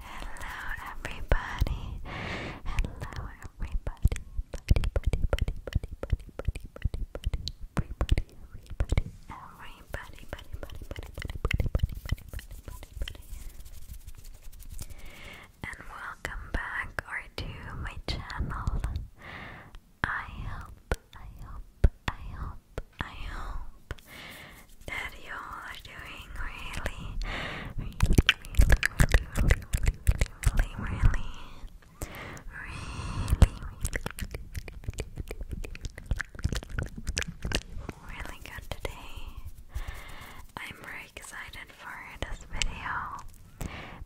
Hello, everybody. Hello, everybody. Buddy, buddy, buddy, buddy, buddy, buddy, buddy, Everybody, everybody, everybody, And welcome back or to my channel. I hope, I hope, I hope, I hope that you all are doing really, really, really, really, really, really, really, really, really, really good today. I'm very excited for this video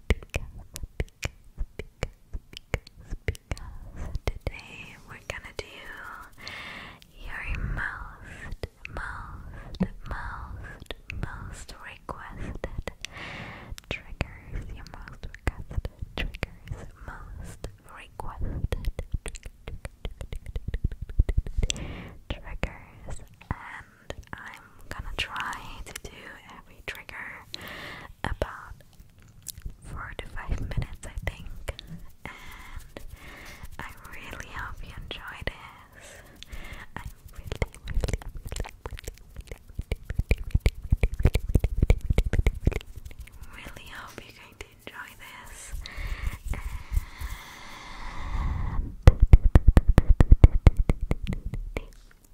because, because, because, because, because today we're gonna do your most, most, most, most requested triggers. Your most requested triggers. Most requested triggers. And I'm gonna try to do every trigger about four to five minutes, I think. And I really hope you enjoy this. I really, really, really, really, really hope you're going to enjoy this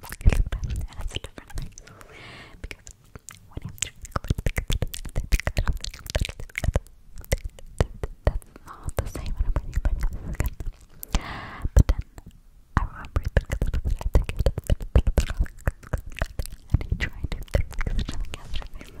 That's a different thing. Because when I'm that's not the same when I'm reading by But then I remember because I think it and he tried to fix it yesterday.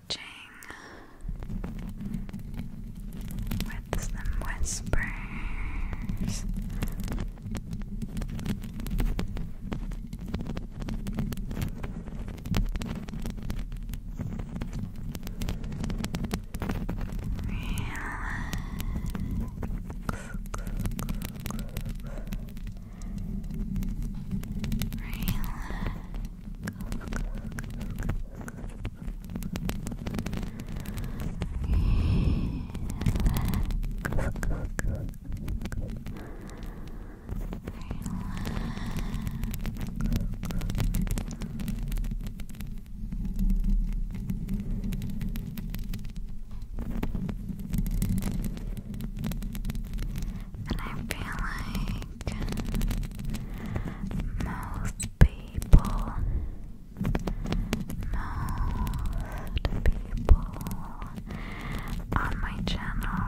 stretching whispers. Relax. Relax. And I feel like think most people, most people on my channel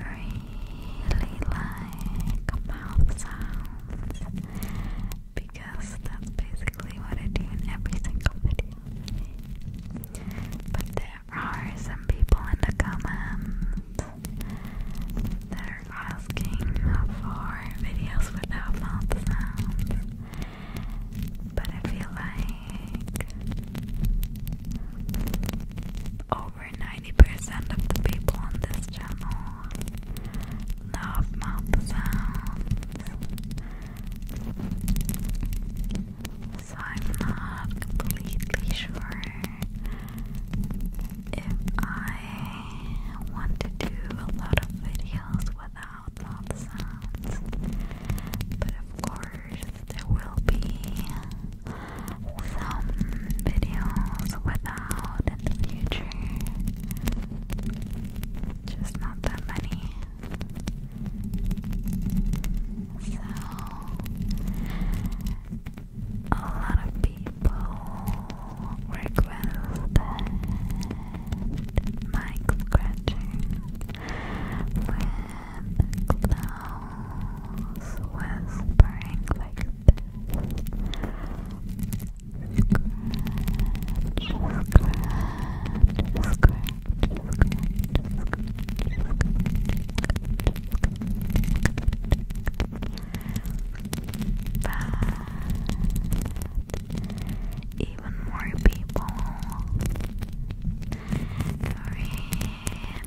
really like mouth sounds because that's basically what I do in every single video. But there are some people in the comments that are asking for videos without mouth sounds. But I feel like over 90% of the people on this channel love mouth sounds so I'm not completely sure if I want to do a lot of videos without loud sounds, but of course, there will be some videos without in the future, just not that many. So, a lot of people requested mic scratching with clowns whispering like this. scratch, scratch, scratch, scratch, scratch, scratch, but even more people really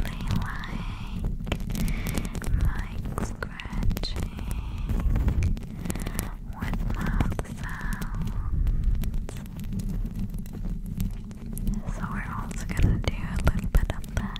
like like sounds. So we're also gonna do a little bit of that.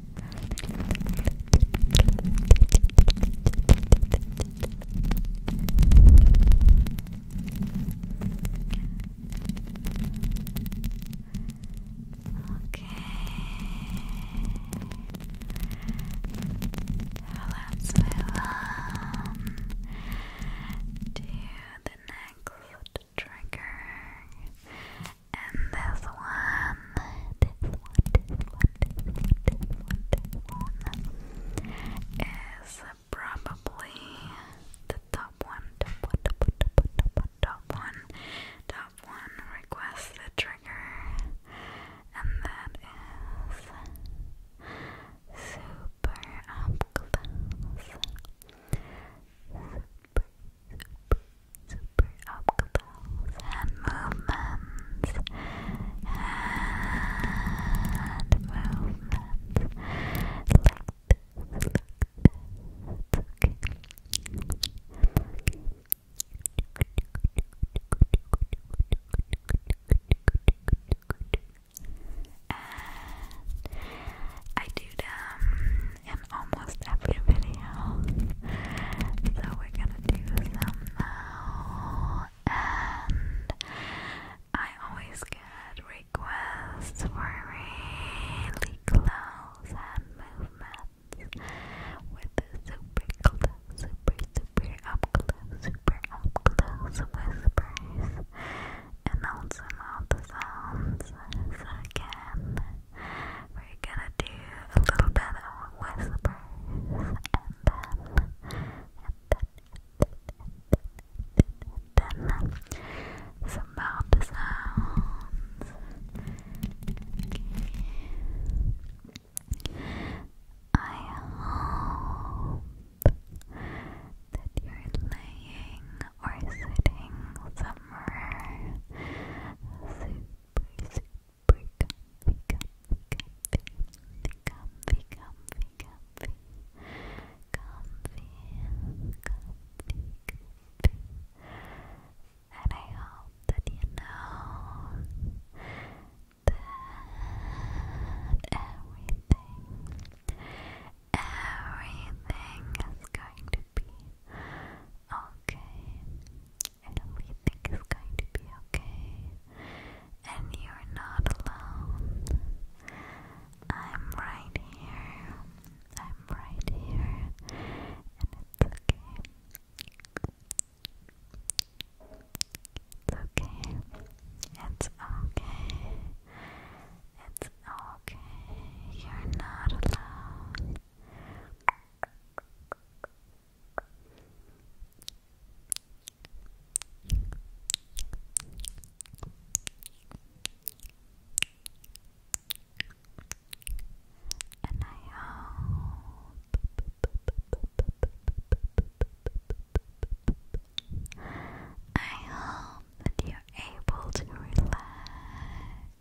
Okay. Now let's um, the next triggering. And this one, this one, this one, this one, this one, this one is probably the top one, top one, top one, top one, request the trigger, and that is super up close super opticals and movements and movements like this, like this. okay. I do them um, in almost every video. So we're gonna do some now. And I always get requests for really close hand movements with super close, super, super up close, super up close whispers. And also mouth sounds. again, we're gonna do a little bit of whispers and then and then and then, and then some mouth sounds. I hope that you're laying or sitting somewhere super comfy, comfy, comfy, comfy, comfy, comfy, comfy, comfy, comfy. And I hope that you know that everything, everything is going to be okay and everything is going to be okay. And you're not alone. I'm right here. I'm right here. And it's okay. It's okay. It's okay. It's okay. You're not alone. And I hope I hope that you're able to relax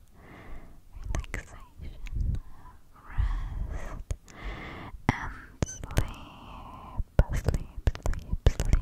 relaxation, rest, and sleep, sleep, sleep, sleep.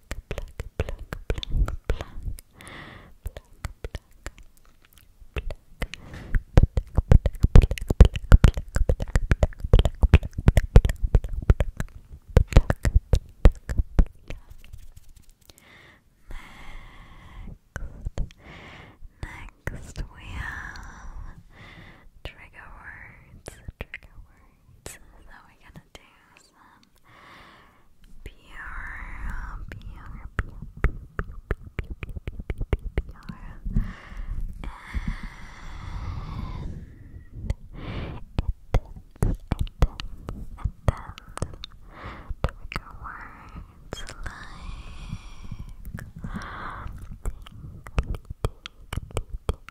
Next we have trigger words, trigger words. So we're to do some pure, pure, pure, pure, pure, pure, pure, pure. and attempts, attempts, attempts, trigger words like tingly, tingly, tingly,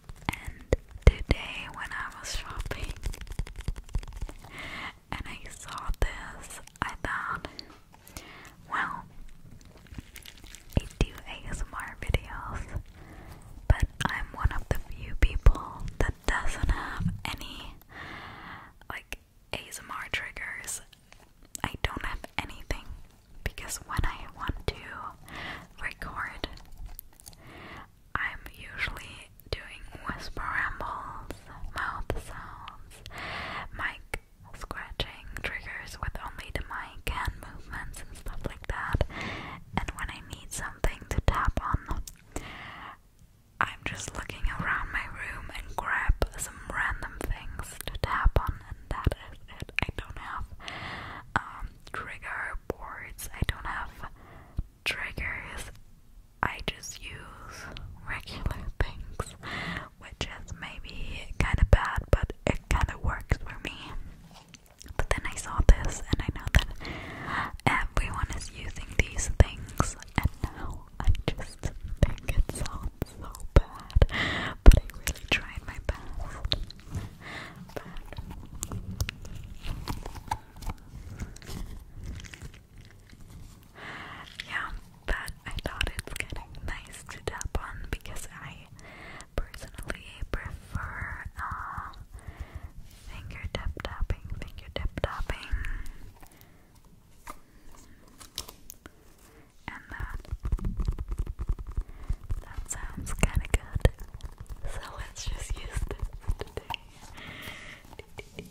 and today, when I was shopping and I saw this, I thought, well, I do ASMR videos, but I'm one of the few people that doesn't have any like ASMR triggers. I don't have anything because when I want to record, I'm usually doing whisper rambles, mouth sounds, mic scratching triggers with only the mic and movements and stuff like that. And when I need something to tap on, I'm just looking around my room and grab some random things to tap on, and that is it. I don't have um, trigger boards. I don't have triggers. I just use regular things, which is maybe kind of bad, but it kind of works for me. But then I saw this, and I know that everyone is using these things, and now I just think it sounds so bad, but I really tried my best but yeah, but I thought it's getting nice to tap on because I personally prefer uh, finger tap tapping, finger tap tapping, and that uh, that sounds kind of good. So let's just use this today. Good.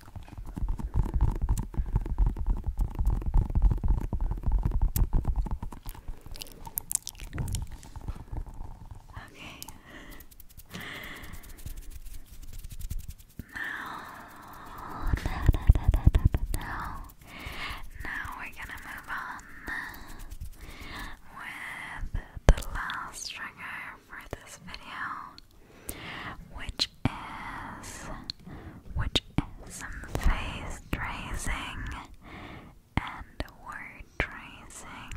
Okay. Now, da, da, da, now, now we're gonna move on with the last trigger for this video which is which is face tracing and word tracing.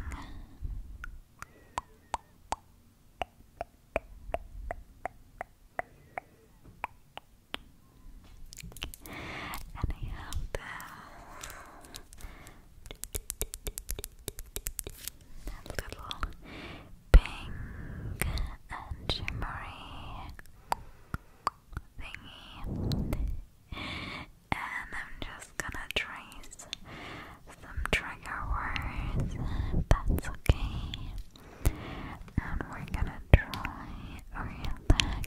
And I have this little pink and shimmery thingy. And I'm just gonna trace some trigger words, that's okay. And we're gonna try relax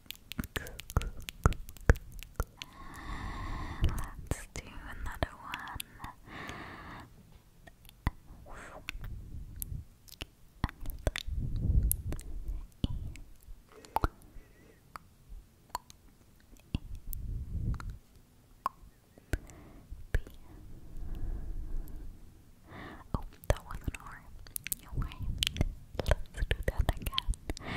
Let's do another one. Oh, that was an R. You're Let's do that again.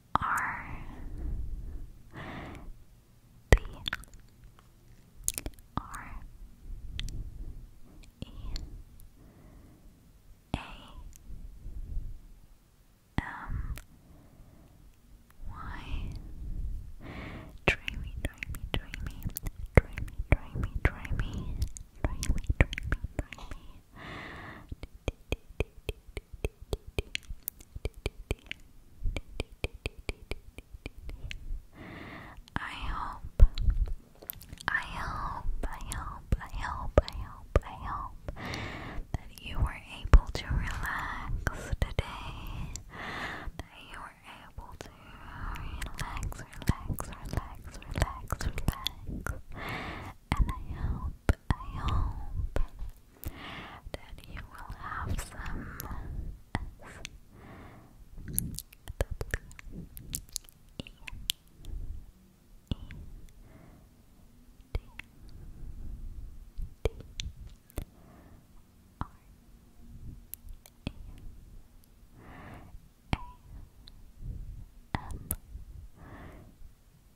are Dreamy, dreamy, dreamy, dreamy, dreamy, dreamy, dreamy, dreamy, dreamy. I hope, I hope, I hope, I hope, I hope, I hope that you were able to relax today. That you were able to relax, relax, relax, relax, relax. And I hope, I hope, then you will have some S W E E D D R E A L Sweet